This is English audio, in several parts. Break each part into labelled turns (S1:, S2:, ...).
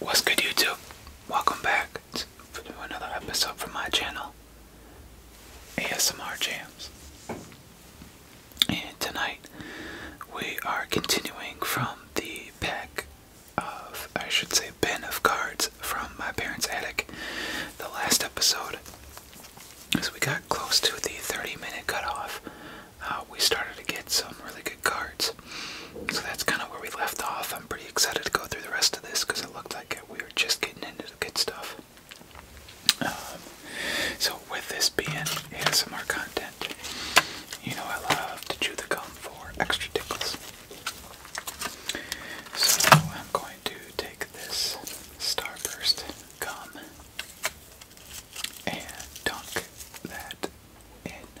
S1: What's good YouTube? Welcome back to another episode from my channel, ASMR Jams. And tonight we are continuing from the pack of, I should say, bin of cards from my parents' attic. The last episode, as we got close to the 30 minute cutoff uh, we started to get some really good cards. So that's kind of where we left off. I'm pretty excited to go through the rest of this because it looked like we were just getting into the good stuff. Um, so, with this being ASMR content, you know I love to chew the gum for extra tickles. So, I'm going to take this Starburst gum and dunk that in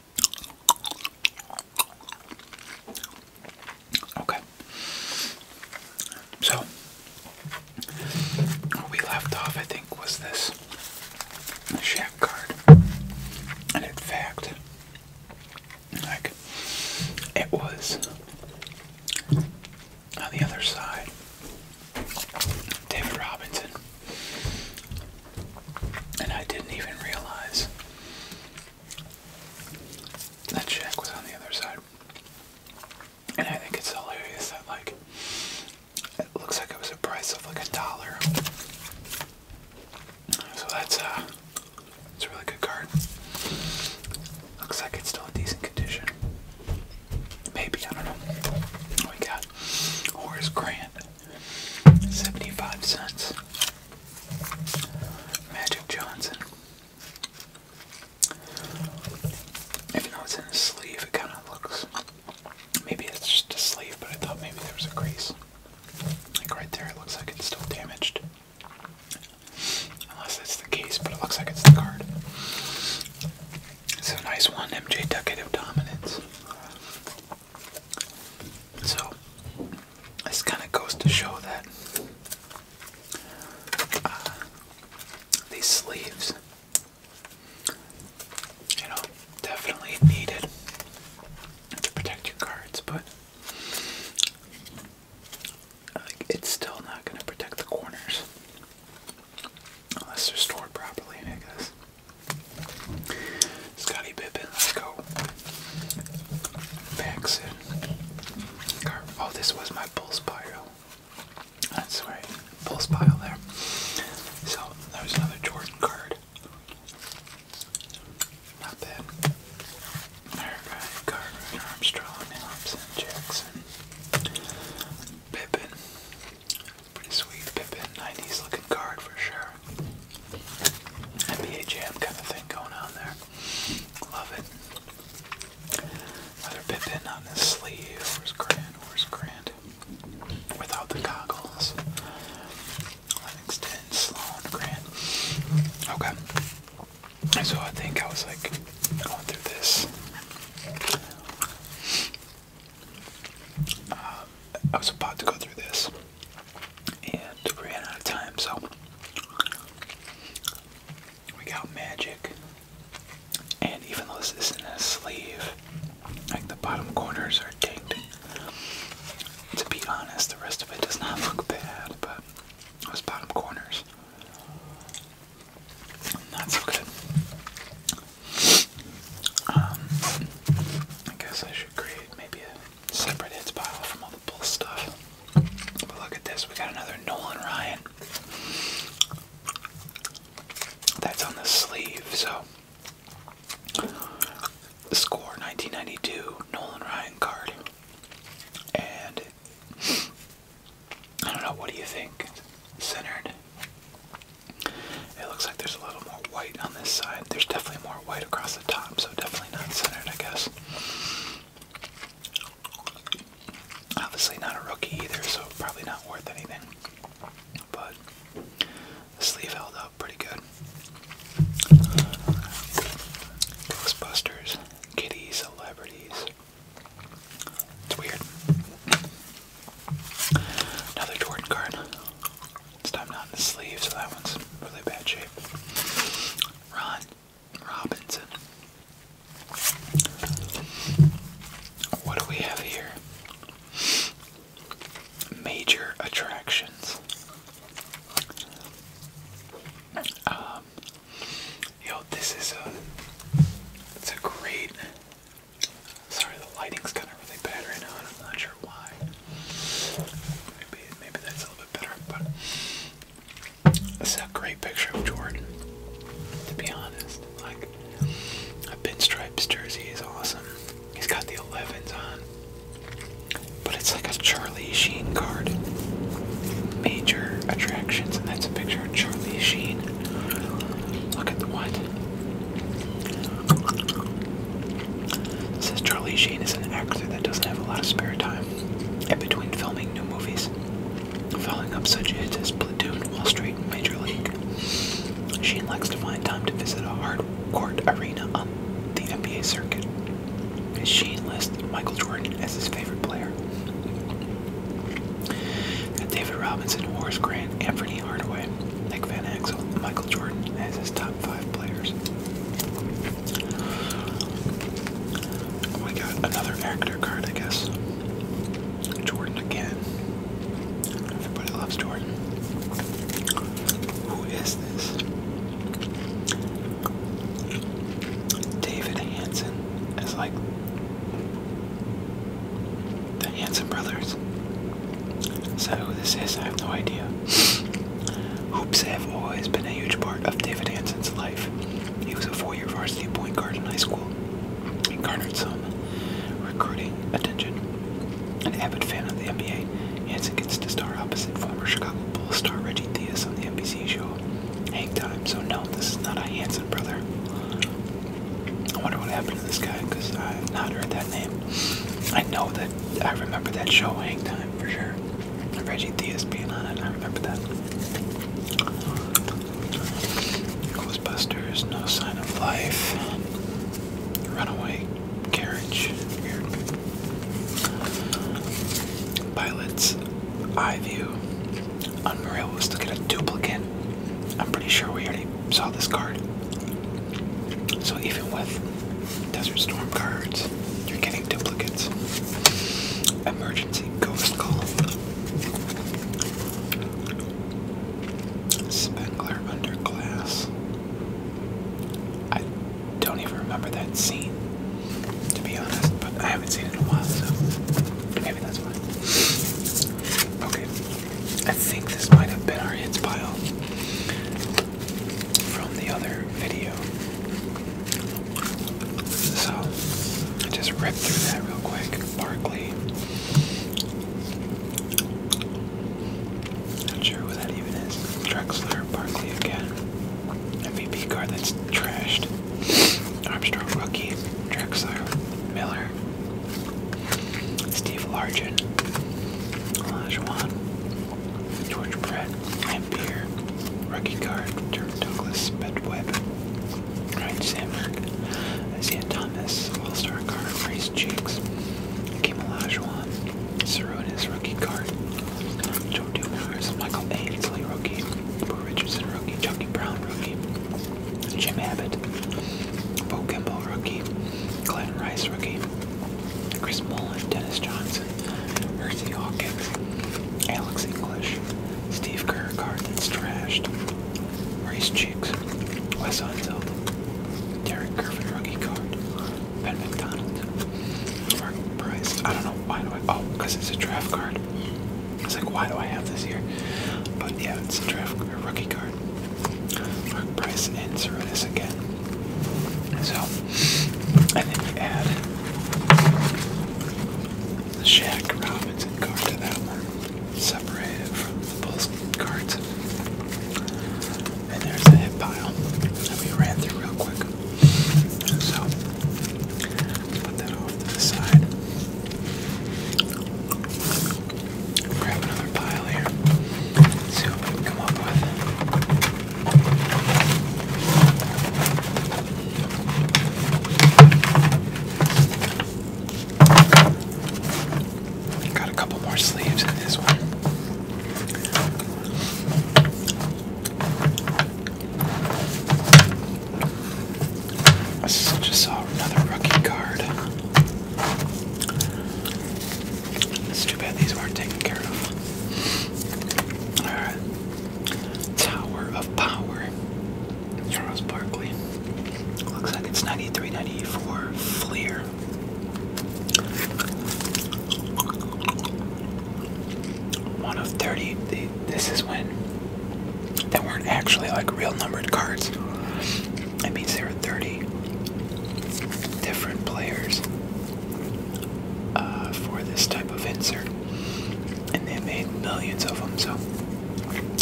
S1: Okay. So, where we left off, I think, was this shack card. And in fact, like, it was on the other side. David Robinson and I didn't even realize that check was on the other side. And I think it's hilarious that, like, it looks like it was a price of like a dollar. So that's a uh, it's a really good card. Looks like it's still in decent condition. Maybe I don't know. We got Horace Grant, 75 cents. Magic Johnson. Even though it's in a sleeve, it kind of looks. Maybe it's just a sleeve, but I thought maybe there was a crease. Like right there, it looks like it's still damaged. Unless that's the case, but it looks like it's the card. It's a nice one, MJ Deck of Dominance. So, this kind of goes to show that uh, these sleeves, you know, definitely needed to protect your cards, but it's still not going to protect the corners unless they're stored properly, I guess. Scotty Pippen, let's go. Paxson. Oh, this was my Bulls pile. That's right, Bulls pile there. So, there was another Jordan card. Not bad. Alright, Armstrong, Jackson, Pippin. Pretty sweet Pippin, 90s looking card for sure. NBA Jam kind of thing going on there. Love it. Another Pippin on this sleeve. Where's Grant? Where's Grant? Without the goggles. Livingston, Sloan, Grant. Okay. So I think I was like going through this. Uh, I was about to go through this and ran out of time, so we got magic. And even though this isn't a sleeve, like the bottom corners are dinged. To be honest, the rest of it does not look bad, but those bottom corners, not so good. Um, I guess I maybe a separate hits pile from all the bull stuff. But look at this, we got another Nolan Ryan. That's on the sleeve, so the score 1992 Nolan Ryan card. And I don't know, what do you think? Centered it looks like there's a little more white on this side. There's definitely more white across the top, so definitely not centered, I guess. Obviously, not a rookie either, so probably not worth anything. But the sleeve held up pretty good. Ghostbusters, kitty celebrities. It's weird. Another Jordan card. It's time not in the sleeve, so that one's really bad shape. Ron Robinson. What do we have here? Major attractions. Um, yo, this is a, it's a great Sorry, the lighting's kind of really bad right now, and I'm not sure why. Maybe maybe that's a little bit better, but this a great picture of Jordan. To be honest, like a pinstripes jersey is awesome. He's got the 11s on, but it's like a Charlie Sheen card. Major attractions, and that's a picture of Charlie Sheen. Look at the what? Since Charlie Sheen is an actor that doesn't have a lot of spare time, and between filming new movies, following up such hits as Platoon, Wall Street, and Major League, Sheen likes to find time to visit a hard court arena on the NBA circuit. Sheen lists Michael Jordan as his favorite player. David Robinson, Horace Grant, Anthony Hardaway, Nick Van Axel, Michael Jordan as his top five players. We oh got another actor card, I guess. Jordan again. Everybody loves Jordan. Who is this? David Hanson is like the Hanson brothers. Is that who this is? I have no idea. Hoops have always been a huge part of David Hanson's life. He was a four-year varsity point guard in high school and garnered some recruiting attention. An avid fan of the NBA, Hanson gets to star opposite former Chicago Bulls star Reggie Theus on the NBC show Hang Time. So no, this is not a Hanson brother. I wonder what happened to this guy because I've not heard that name. I know that I remember that show Hang Time for sure. Reggie Theus being on it, I remember that. Ghostbusters, No Sign of Life, Runaway Carriage, weird. Pilots, Eye View, Unreal was looking at a duplicate. I'm pretty sure we already saw this card. So even with Desert Storm cards, you're getting duplicates. Emergency Ghost Call. Spengler under glass. I don't even remember that scene, to be honest, but I haven't seen it in a while, so maybe that's why. Okay, I think this might have been our hits pile from the other video. So I just ripped through that real quick. Barkley. Not sure who that even is. Drexler, Barkley again. MVP card that's trashed. Armstrong rookie. Drexler. Miller. Steve Largent, Olajuwon, George Brett, Ampere, Rookie card, Dirk Douglas, Bedweb, Ryan Sandberg, Isaiah Thomas, All-Star Guard, Race Cheeks, Kim Olajuwon, Saronis, Rookie card, Joe Dumars, Michael Ainsley, Rookie, Bo Richardson, Rookie, Chucky Brown, Rookie, Jim Abbott, Bo Kimball, rookie. Glenn Rice, rookie. Chris Mullen, Dennis Johnson, Mercy Hawkins, Alex English, Steve Kerr, card that's trashed, Maurice Chicks, Wes Unseld, Derek Griffin, rookie card, Ben McDonald, Mark Price. I don't know why do I. Oh, because it's a draft card. It's like, why do I have this here? But yeah, it's a draft a rookie card. Mark Price and Cerrutis again. So, I then you add the Shack Robinson card to that one, separated from the Bulls cards. And there's a hit pile that we ran through real quick. So, put that off to the side. Grab another pile here. see what we can come up with. Got a couple more sleeves in this one. I just saw another rookie card. It's too bad these weren't taken care of. Alright. Tower of Power. Charles Barkley. Looks like it's ninety three, ninety four. 94 Fleer. One of 30. this is when there weren't actually like real numbered cards. That means there are 30 different players uh, for this type of insert. And they made millions of them, so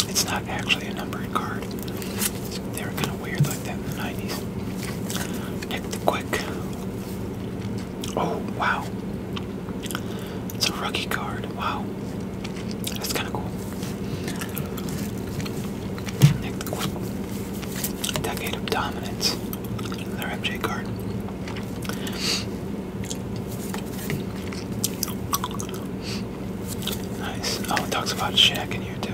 S1: it's not actually a numbered card. They were kind of weird like that in the 90s. Hit quick. Oh, wow. It's a rookie card. Wow. That's kind of cool. Decade of dominance. Their MJ card. Nice. Oh, talks about Shaq in here too.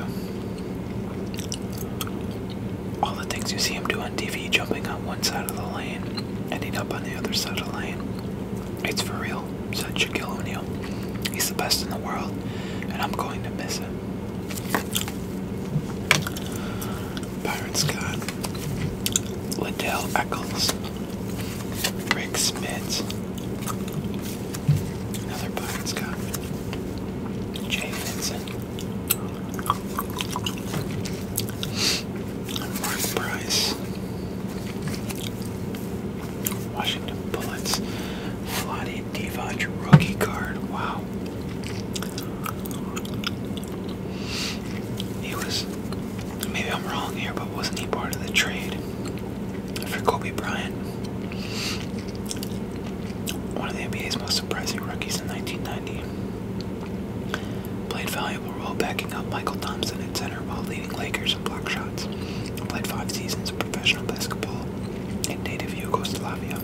S1: All the things you see him do on TV, jumping on one side of the lane, ending up on the other side of the lane. It's for real. O'Neal, said Shaquille O'Neill. He's the best in the world, and I'm going to miss him. Byron Scott, Liddell Eccles, Rick Smith, another Byron Scott, Jay Vincent, Mark Price, Washington Bullets. Vlade Divac rookie card. Wow. He was, maybe I'm wrong here, but wasn't he part of the trade for Kobe Bryant? One of the NBA's most surprising rookies in 1990. Played valuable role backing up Michael Thompson at center while leading Lakers professional block shots. Played five seasons of professional basketball in native Yugoslavia.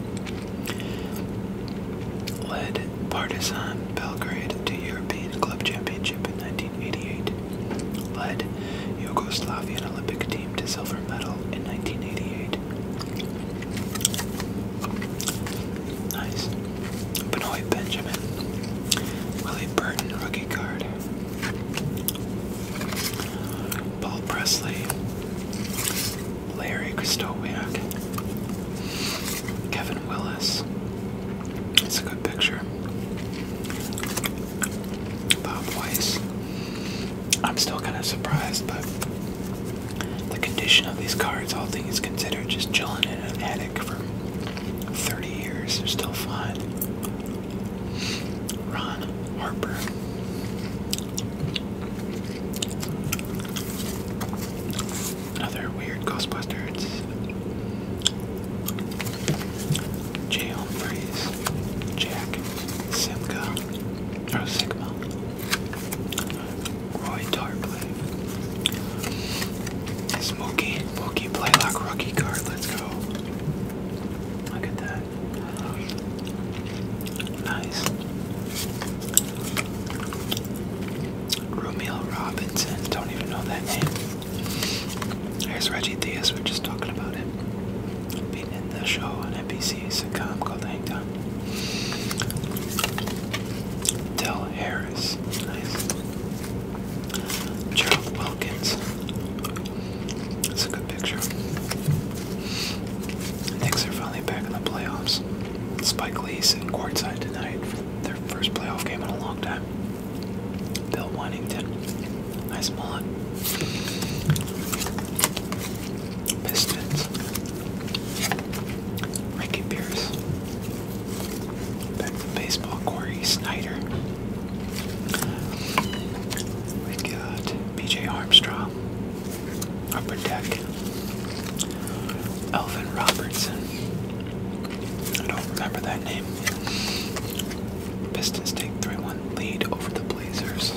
S1: Led Partizan Belgrade to European Club Championship in 1988. Led Yugoslavian Olympic team to silver medal in 1988. Nice. Benoit Benjamin. Willie Burton rookie card. Paul Presley, Larry Kristowiak, Kevin Willis. It's a good picture. Bob Weiss. I'm still kind of surprised, but the condition of these cards, all things considered, just chilling in an attic for 30 years, they're still fine. Ron Harper. Another weird Ghostbusters. Jay Humphries. Jack Simca. Or Sigma. Roy Tarpley. Smokey. Smokey Playlock rookie card. Let's go. Look at that. Nice. Romeo Robinson. Don't even know that name. Here's Reggie Theus. We're just talking about it. Being in the show on NBC sitcom called Hangtime. Del Harris. Nice. Gerald Wilkins. That's a good picture. Knicks are finally back in the playoffs. Spike Lee's in courtside tonight for their first playoff game in a long time. Bill Wennington. Nice mullet. Pistons. Ricky Pierce. Back to baseball. Corey Snyder we got BJ Armstrong, Upper Deck, Elvin Robertson. I don't remember that name. Pistons take 3 1 lead over the Blazers.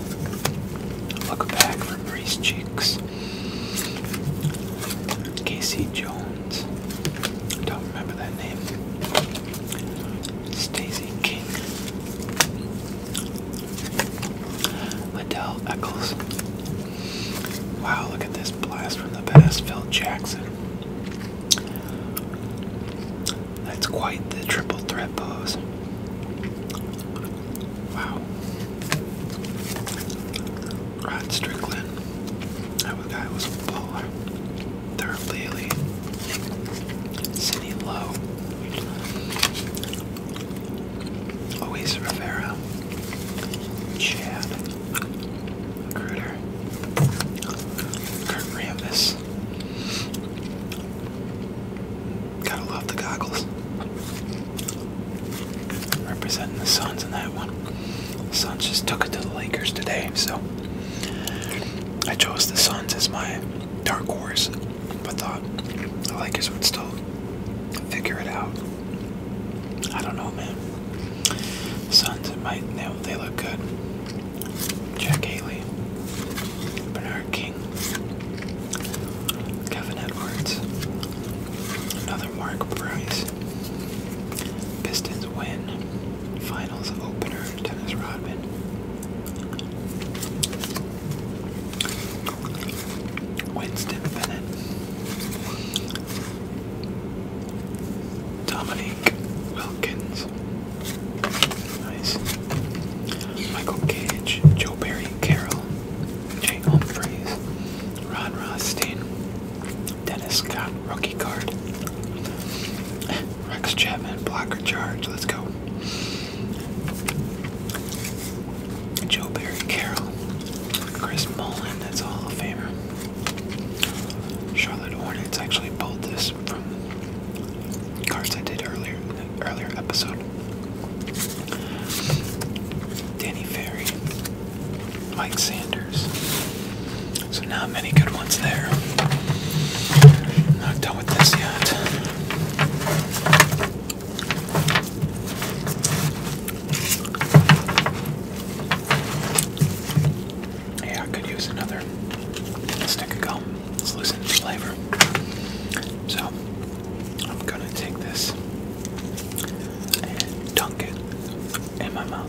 S1: Look back for Breeze Cheeks. Casey Jones. Don't remember that name. Stacey King, Liddell Eccles. Wow, look at this blast from the past, Phil Jackson. That's quite the triple threat pose. Wow. Rod Strickland. That guy was a baller. Third Lily, Cindy Lowe, Luis Rivera, Chad, Gruder, Kurt Rambis. Gotta love the goggles. Representing the Suns in that one. The Suns just took it to the Lakers today, so I chose the Suns as my dark horse, but thought the Lakers would still figure it out. I don't know, man. The Suns it might they, they look good. Jack Haley, Bernard King, Kevin Edwards, another Mark Price. Pistons win. Finals opener. Dennis Rodman. Winston Bennett. Dominique Wilkins. Nice. Michael Cage, Joe Barry Carroll, Jay Humphries, Ron Rothstein, Dennis Scott, rookie card. Rex Chapman, blocker charge. Let's go. Joe Barry Carroll. Chris Mullen, that's a Hall of Famer. Charlotte Hornets actually pulled this from cards I did earlier earlier episode. Danny Ferry. Mike Sanders. So not many good ones there. Not done with this yet. Yeah, I could use another stick of gum. It's losing its flavor. So I'm gonna take this and dunk it in my mouth.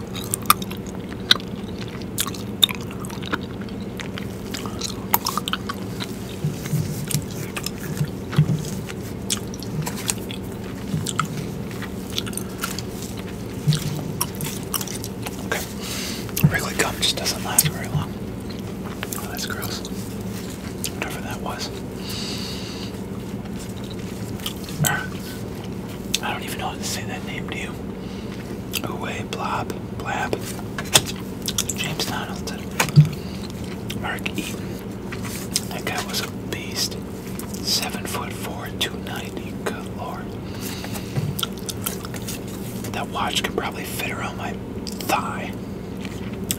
S1: Okay. gum just doesn't last very long. Oh, that's gross. Whatever that was. I don't even know how to say that name to you. Away, Blob, Blab, James Donaldson, Mark Eaton. That guy was a beast. Seven foot four, 290. Good lord. That watch could probably fit around my thigh.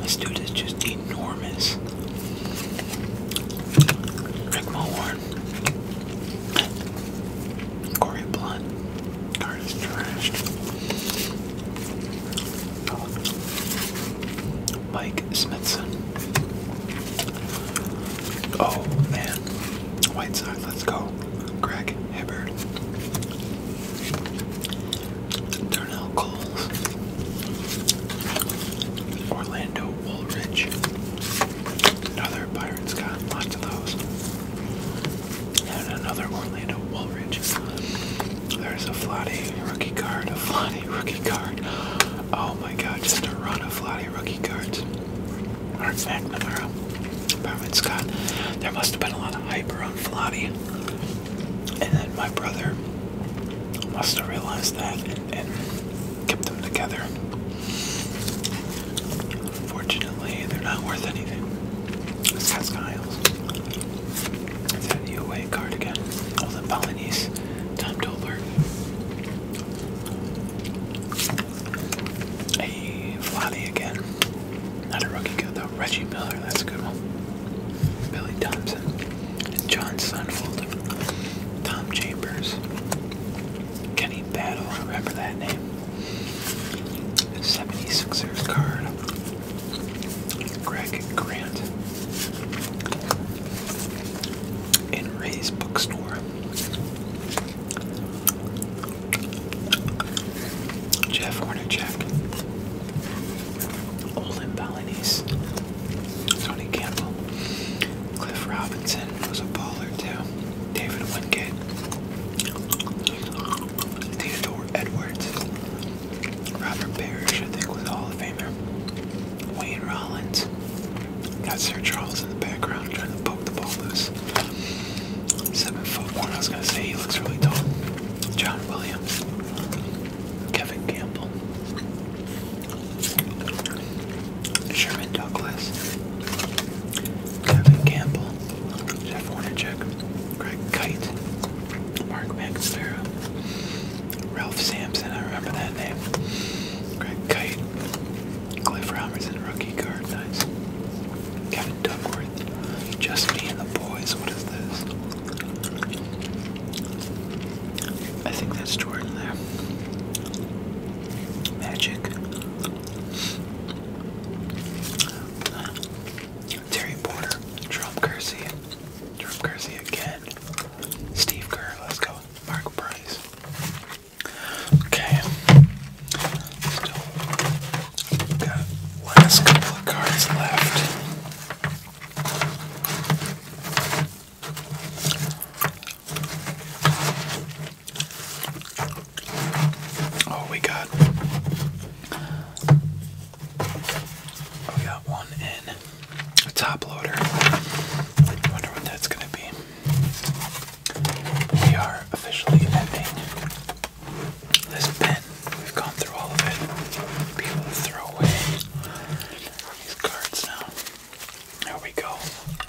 S1: This dude is just enormous. Rick Mulhorn. Corey Blunt. Card trashed. Mike Smithson. Oh man. Whiteside, let's go. Greg Hibbert. Darnell Coles. Orlando Woolrich, another Pirates con, lots of those, and another Orlando Woolrich. There's a Flatty rookie card, a Flotty rookie card. Oh my god, just a run of Flotty rookie cards. Art McNamara, Barman Scott. There must have been a lot of hype around Flatty, And then my brother must have realized that kept them together. Unfortunately, they're not worth anything. Let's ask Isles. Is that a UA Tom Tolbert. Hey, Vladi again. Not a rookie good though. Reggie Miller, that's a good one. Billy Thompson. John Sunfold. Tom Chambers. Kenny Battle, I remember that name. 76ers card. Greg Grant. In Ray's bookstore. Jeff Hornacek. Olin Balinese. Tony Campbell. Cliff Robinson. Robinson was a baller too. David Wingate. Theodore Edwards. Robert Parrish, I think, was a Hall of Famer. Wayne Rollins. Got Sir Charles in the background trying to poke the ball loose. Seven foot one, I was gonna say he looks really tall. John Williams. Kevin Campbell. Sherman Douglas, Kevin Campbell, Jeff Hornacek, Greg Kite, Mark Magnavera, Ralph Sampson, I remember that name, Greg Kite, Cliff Robertson, rookie guard, nice, Kevin Dougworth. Just Me and the Boys, what is this? I think that's Jordan there. Magic. Terry Porter, Jerome Kersey, Jerome Kersey again, Steve Kerr, let's go, Mark Price. Okay, still got last couple of cards left. Oh, we got. We got one in a top loader. I wonder what that's going to be. We are officially ending this bin. We've gone through all of it. People throw away these cards now. There we go.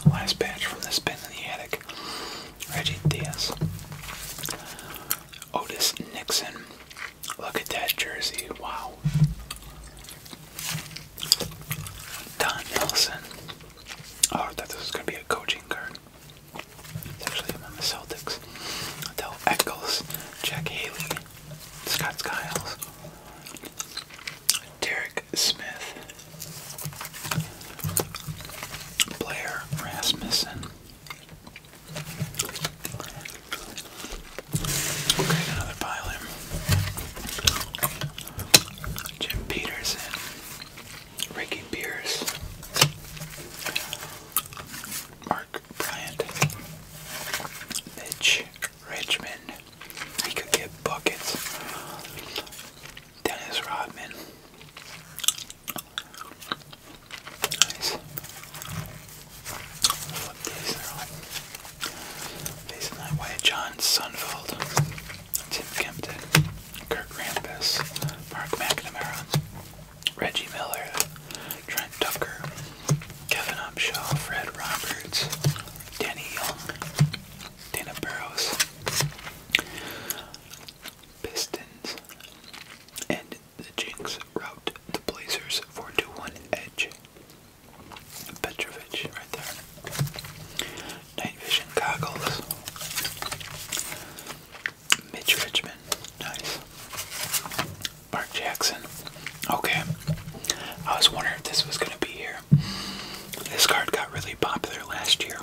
S1: Last batch from this bin in the attic. Reggie Diaz. Otis Nixon. Look at that jersey. Wow. Don Nelson. Oh, I thought this was going to be a coaching card. It's actually among the Celtics. Adele Eccles. Jack Haley. Scott Skiles. Derek Smith, Blair Rasmussen. Okay, another pile Jim Peterson, Ricky Pierce, Mark Bryant, Mitch Richmond. we could get buckets. Dennis Rodman. Nice. Flip these. They're all facing that way. John Sunfeld. Tim Kempton. Kirk Rampus. Mark McNamara. Reggie Miller. Trent Tucker. Kevin Upshaw. Fred Roberts. Danny Young, Dana Burrows, Pistons, and the Jinx route the Blazers 4-1 edge. Petrovich, right there. Night vision goggles. Mitch Richmond, nice. Mark Jackson, Okay. I was wondering if this was going to be here. This card got really popular last year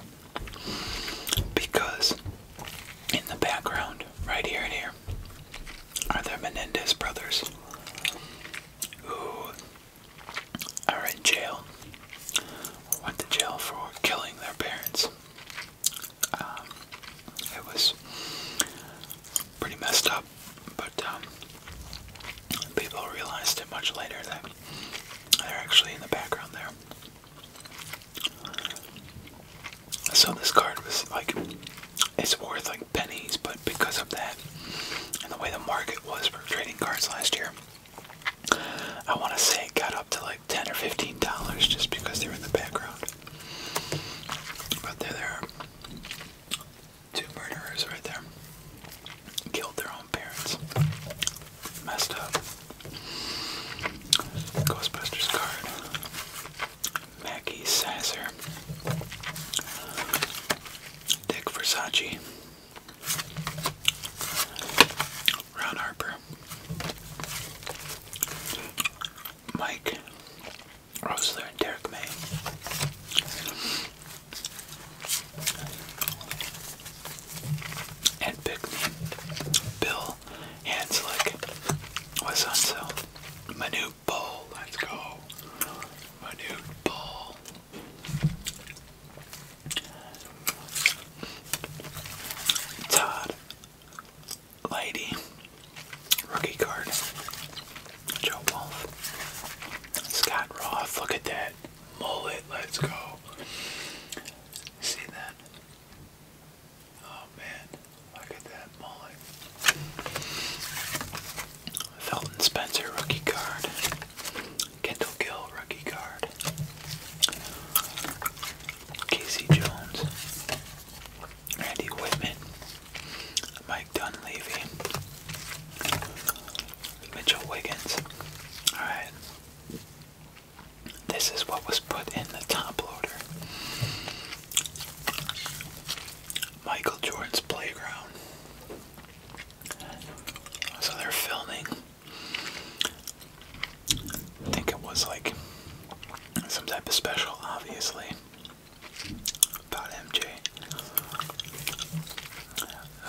S1: because in the background, right here and here, are the Menendez brothers who are in jail went to jail for killing their parents. Um, it was pretty messed up. But um, people realized it much later that they're actually in the background there. So this card was like, it's worth like pennies, but because of that and the way the market was for trading cards last year, I want to say it got up to like 10 or 15 dollars just because they were in the background. But they're there. Two murderers right there. Killed their own parents. Messed up. Ghostbusters card. Maggie Sasser. Dick Versace. Ron Harper. Mike Rosler and Derek May. And Pick Me. Bill Hanslick was on sale. Minute Bowl, let's go. Minute Bowl. Todd Lady. Rookie card. Joe Wolf. Scott Roth, look at that. Mullet, let's go. See that? Oh man, look at that mullet. Felton Spencer rookie card. Kendall Gill rookie card. Casey Jones. Randy Whitman. My Dunleavy, Mitchell Wiggins. Alright. This is what was put in the top loader. Michael Jordan's playground. So they're filming. I think it was like some type of special, obviously about MJ.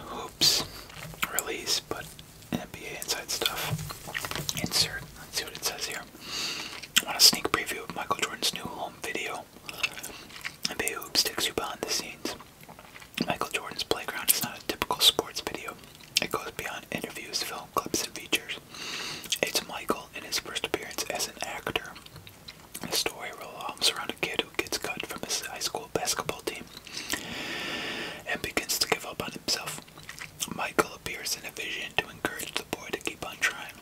S1: Hoops release, but NBA inside stuff. Insert. Let's see what it says here. I want a sneak preview of Michael Jordan's new home video. NBA Hoops takes you behind the scenes. Michael Jordan's playground is not a typical sports video. It goes beyond interviews, film clips, and features. It's Michael in his first appearance as an actor, a story revolves around a kid who gets cut from his high school basketball team and begins to give up on himself. Michael appears in a vision to encourage the boy to keep on trying.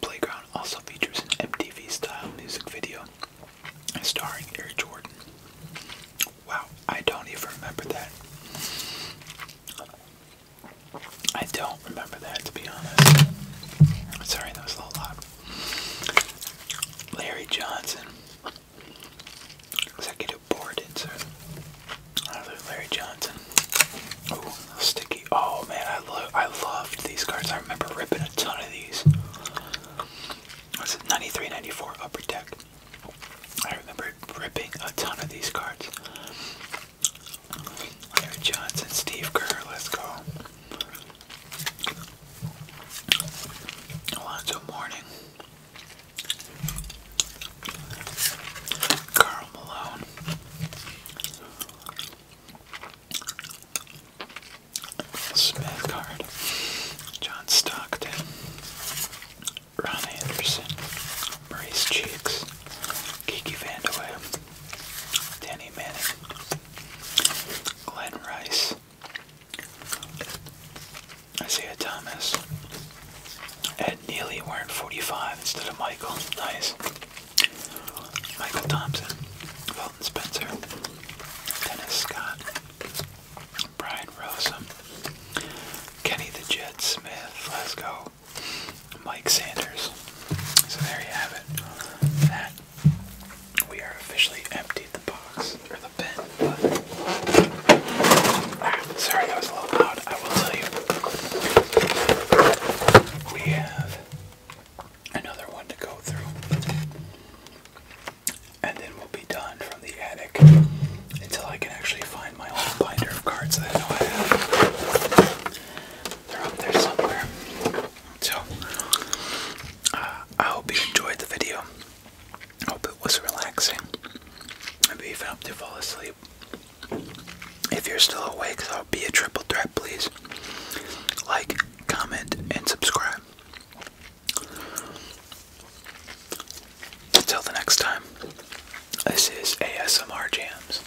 S1: Playground also features an MTV style music video starring Air Jordan. Wow, I don't even remember that. I don't do remember that, to be honest. Sorry, that was a little loud. Larry Johnson, executive board insert. Another Larry Johnson. sticky. Oh man, I love, I loved these cards. I remember ripping a ton of these. Was it 93, Upper Deck? I remember ripping a ton of these cards. Larry Johnson, Steve Kerr, let's go. Alonzo Mourning. Carl Malone. Smith card. John Stockton. Ron Anderson. Maurice Cheeks. Kiki Vandalay. Danny Manning, Glenn Rice, Isaiah Thomas, Ed Neely wearing 45 instead of Michael. Nice. Michael Thompson, Felton Spencer, Dennis Scott, Brian Rossum, Kenny the Jet Smith. Let's go. Mike Sanders. So there you have it. That we are officially emptied the box or the bin. Ah, sorry, that was a little loud. I will tell you, we have another one to go through, and then we'll be done from the attic until I can actually find my own binder of cards that I know I have. They're up there somewhere. So, uh, I hope you enjoyed the video. hope it was relaxing. Maybe even helped you fall asleep. If you're still awake, that'll be a triple threat, please. Like, comment, and subscribe. Until the next time, this is ASMR Jams.